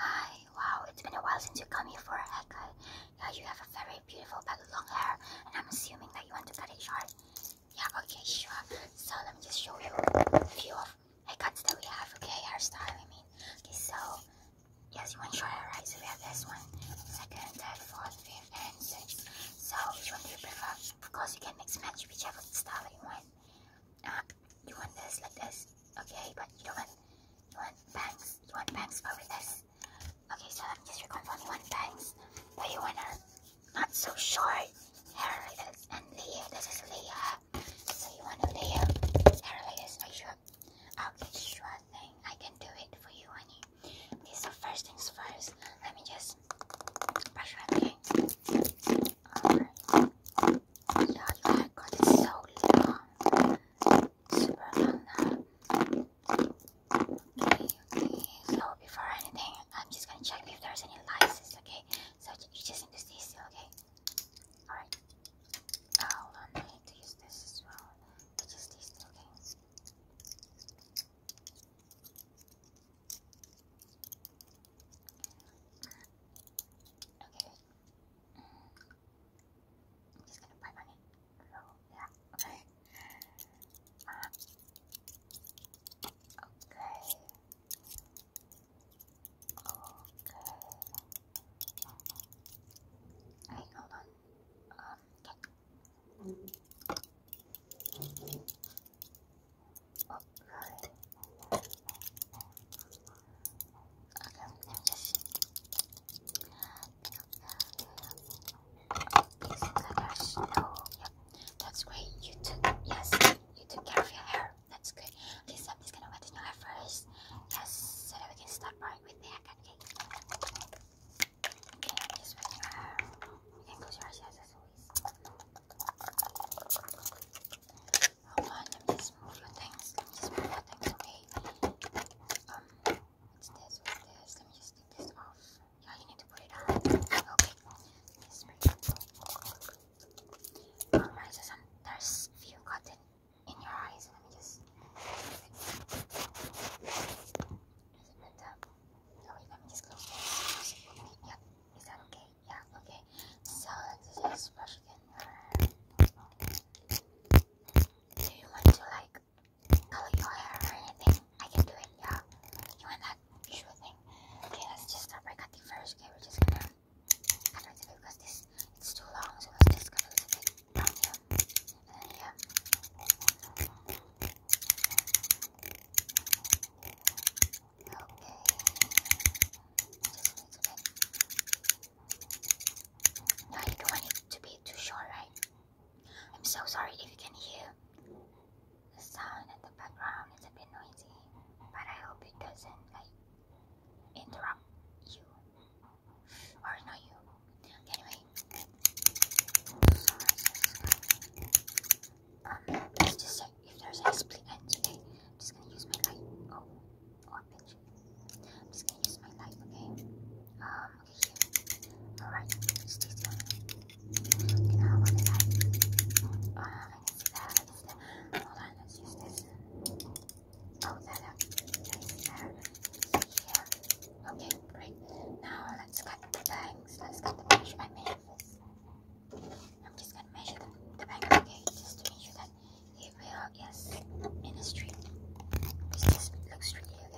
Hi, wow, it's been a while since you come here for a haircut. Yeah, you have a very beautiful but long hair, and I'm assuming that you want to cut it short. Yeah, okay, sure. So let me just show you a few of haircuts that we have, okay? Hairstyle, I mean. Okay, so, yes, you want short hair, right? So we have this one, second, third, fourth, fifth, and sixth. So which one do you prefer? Of course, you can mix match whichever style you want. Uh, you want this like this, okay? But you don't want you want bangs. You want bangs but with this. Okay, so I'm just reconfirm you want bangs, but you want her not so short hair like this. And Leah, this is Leah. So you want a Leah hair like this? Are you sure? Okay, sure thing. I can do it for you, honey. Okay, so first things first. Let me just brush my hair. Alright. Um, yeah, you have got it so long. Super long Okay, okay. So before anything, I'm just gonna check if there's any license, okay? So you just need to stay still, okay? Alright. I'll to use this as well. just stay still, okay? Okay. I'm just gonna buy money. Oh, yeah. Okay. okay. Okay. Alright, hold on. Um, okay upload I just Yep, that's great. You took yes, you took care of your hair. That's good. Okay, so i gonna wet your hair first. Yes, so that we can start right with the Okay, okay just wet your You can close your eyes Hold on, let me just move your things. Let me just move your things, okay? Um, what's this? What's this? Let me just take this off. Yeah, you need to put it on. Okay. Yes, Alright, so some, there's few cotton in your eyes. Let me just is it better? Oh, wait, let me just close this. Yeah, is that okay? Yeah, okay. So today's question Do you want to like color your hair or anything? I can do it, yeah. You want that? Sure thing. Okay, let's just start by cutting first. Okay, we're just gonna cut right away because this it's too long, so let's just cut a little bit no, you don't want it to be too short, right? I'm so sorry if you can hear the sound in the background. It's a bit noisy, but I hope it doesn't like interrupt you or not you. Anyway, let's just check if there's a split end today. I'm just gonna use my light. Oh, oh, I'm just gonna use my light, okay? Um, okay, here. Alright, stay still. Okay, now I want the light. Uh, I see that, I can see that. Hold on, let's use this. Oh, that, that is Okay, great. Now let's cut the bangs. Let's cut the brush I made. I'm just gonna measure them. okay? Just to make sure that it will is in a straight. This just looks okay.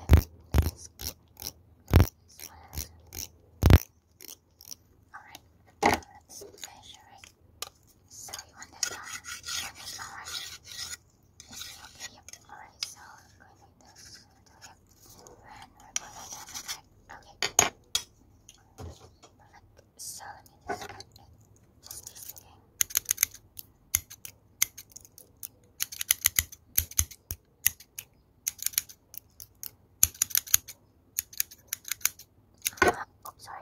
Alright, let So you want this one? You want okay, yep. Alright, so I'm going like this and Okay. So let me just oh, sorry.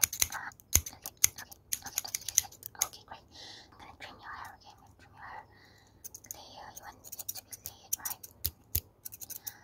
okay, okay, okay, okay, great. I'm gonna trim your hair, okay? trim your hair. Lay, uh, you want it to be laid, right?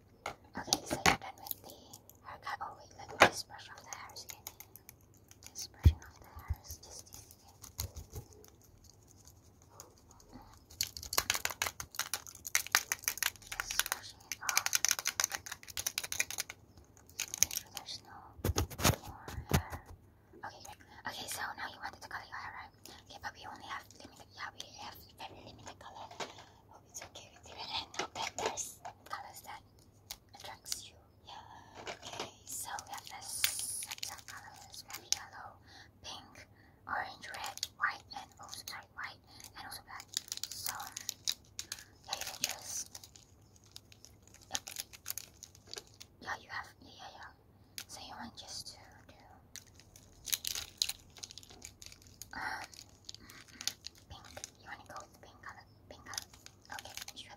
Okay, so you're done with the haircut. Oh wait, let me just brush off the hair. Okay, Okay, so now you wanted to color your hair, right? Okay, but we only have yeah, we have very limited color hope it's okay with you and hope that colors that attracts you. Yeah. Okay, so we have this sets colors. We yellow, pink, orange, red, white, and also bright white, and also black. So, yeah, you just... Yeah, you have... yeah, yeah. So you want just to do... Um, pink. You wanna go with pink color? Pink Okay, sure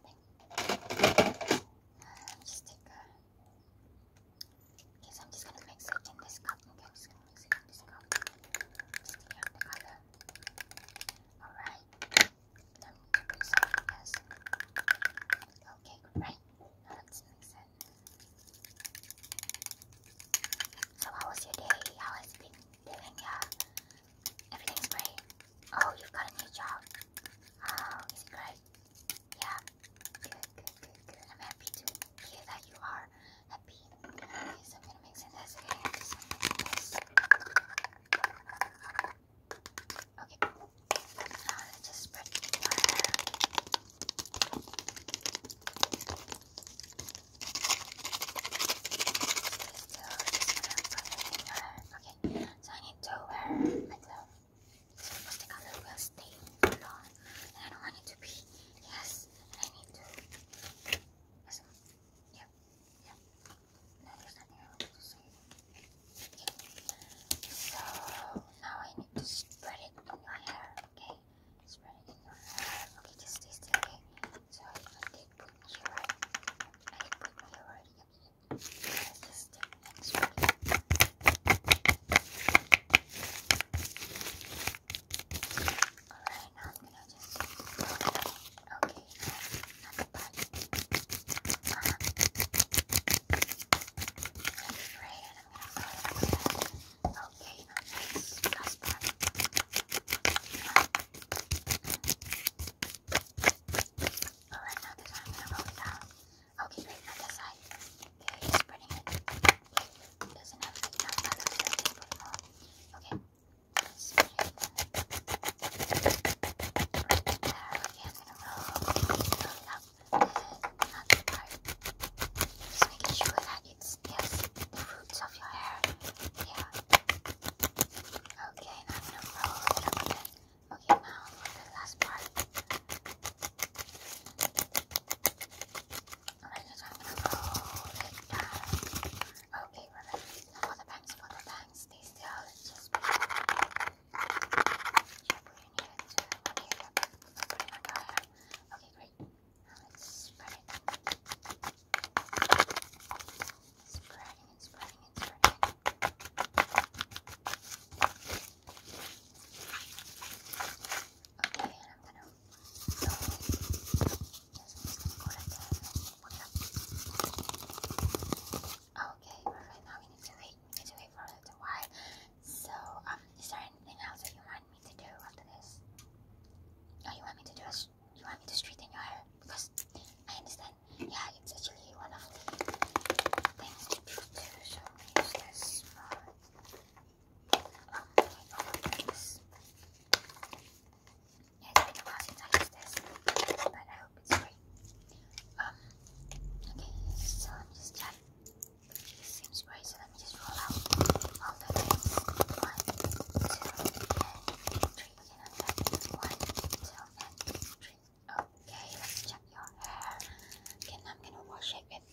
just take a... Okay, so I'm just gonna mix it in this cup. Okay, I'm just gonna mix it in this cup. Just color. Alright. Let me do this, I Okay, great. Now let's so how was your day? How has been doing? Yeah, everything's great. Oh, you've got a new job. Oh, is great? Yeah, good, good, good, good. I'm happy to hear that you are happy. Okay, so I'm gonna mix in this this. Okay, uh, Okay, so I need to wear my clothes. It's supposed to color will stay for long. I don't want it to be. Yes, I need to. Yep, yep. No, there's nothing I to say. So now I spread it in your hair, okay? Spread it in your hair. Okay, just taste it, So I did put here. I put here already. just take the next one. Alright, now I'm gonna just. Okay, I'm back. Um, I'm Okay, now this last part. Alright, now this I'm gonna roll it down. Okay, great, now this side. Okay, he's spreading it. It doesn't have enough color, so I just put it on. Okay, spread it. Right there, okay, I'm gonna roll, roll it up. Just making sure that it's, yes, the roots of your hair. Yeah. Okay, now I'm gonna roll Okay, now for the last part. Alright, so I'm gonna roll it down. Okay, for the bangs, for the bangs, stay still, just Okay, great. let's spread it. Spreading and spreading Okay, Okay, perfect. Now we need to wait. We need to wait for a little while. So, um, is there anything else that you want me to do after this? Oh, you want me to do a, you want me to straighten your hair? Because I understand, yeah, it's actually one of the things this Um, okay, oh, it's been a while since I used this, but I um, it's right. Um, okay, so let me just check. This seems right, so let me just roll out all the things. One, two, and three. One, two, and three. Okay, check your hair. Okay, now I'm gonna wash it with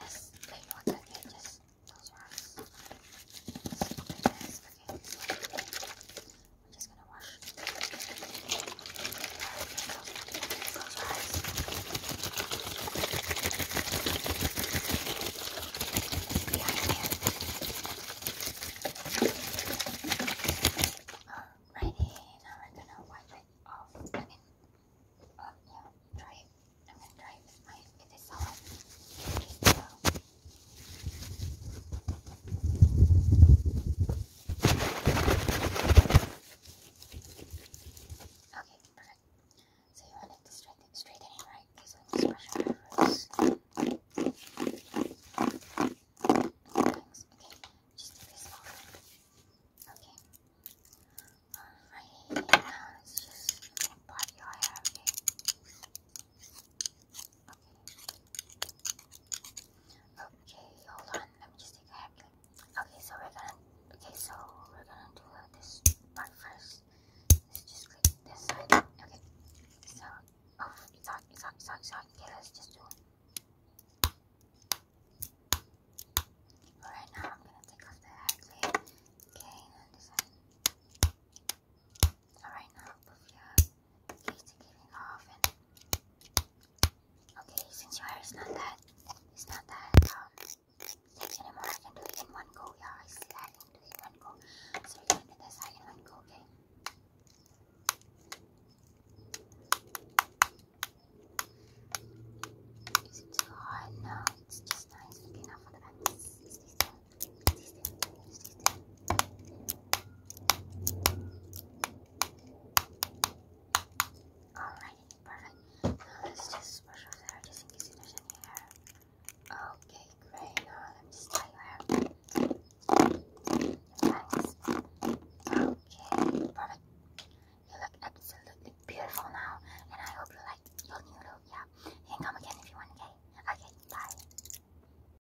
this plain water here. Just close your eyes. Okay, okay. I'm just gonna wash Yeah, yeah. Alrighty, now we gonna wipe it off. yeah, dry it. I'm gonna dry it my with this salad. So. Okay, perfect. So you want it to straighten, straighten it right? Because we must brush our roots. Thanks. Okay, just do this over. Okay. Alright, now let's just part your hair, okay? Okay. hold on. Let me just take a happy. Okay, so we're gonna. Okay, so we're gonna do this part first. Let's just click this side. Okay. So, oh, it's on, it's on, it's on, it's on. Okay, us just do it. Alright, now I'm gonna take off the hat layer. Okay, and this side. Alright, now put okay since your hair is not that it's not that um, anymore do it in one go yeah I see do it in one go so we can do this in one go okay is it too hot? No, it's just nice. Okay, now for the back. Stay Alrighty, perfect. Now let's just brush out the hair just in case there's any hair. Okay, great. Now let me just your hair Thanks. Okay, perfect. You look absolutely beautiful now, and I hope you like your new look. Yeah, you can come again if you want. Okay. Okay. Bye.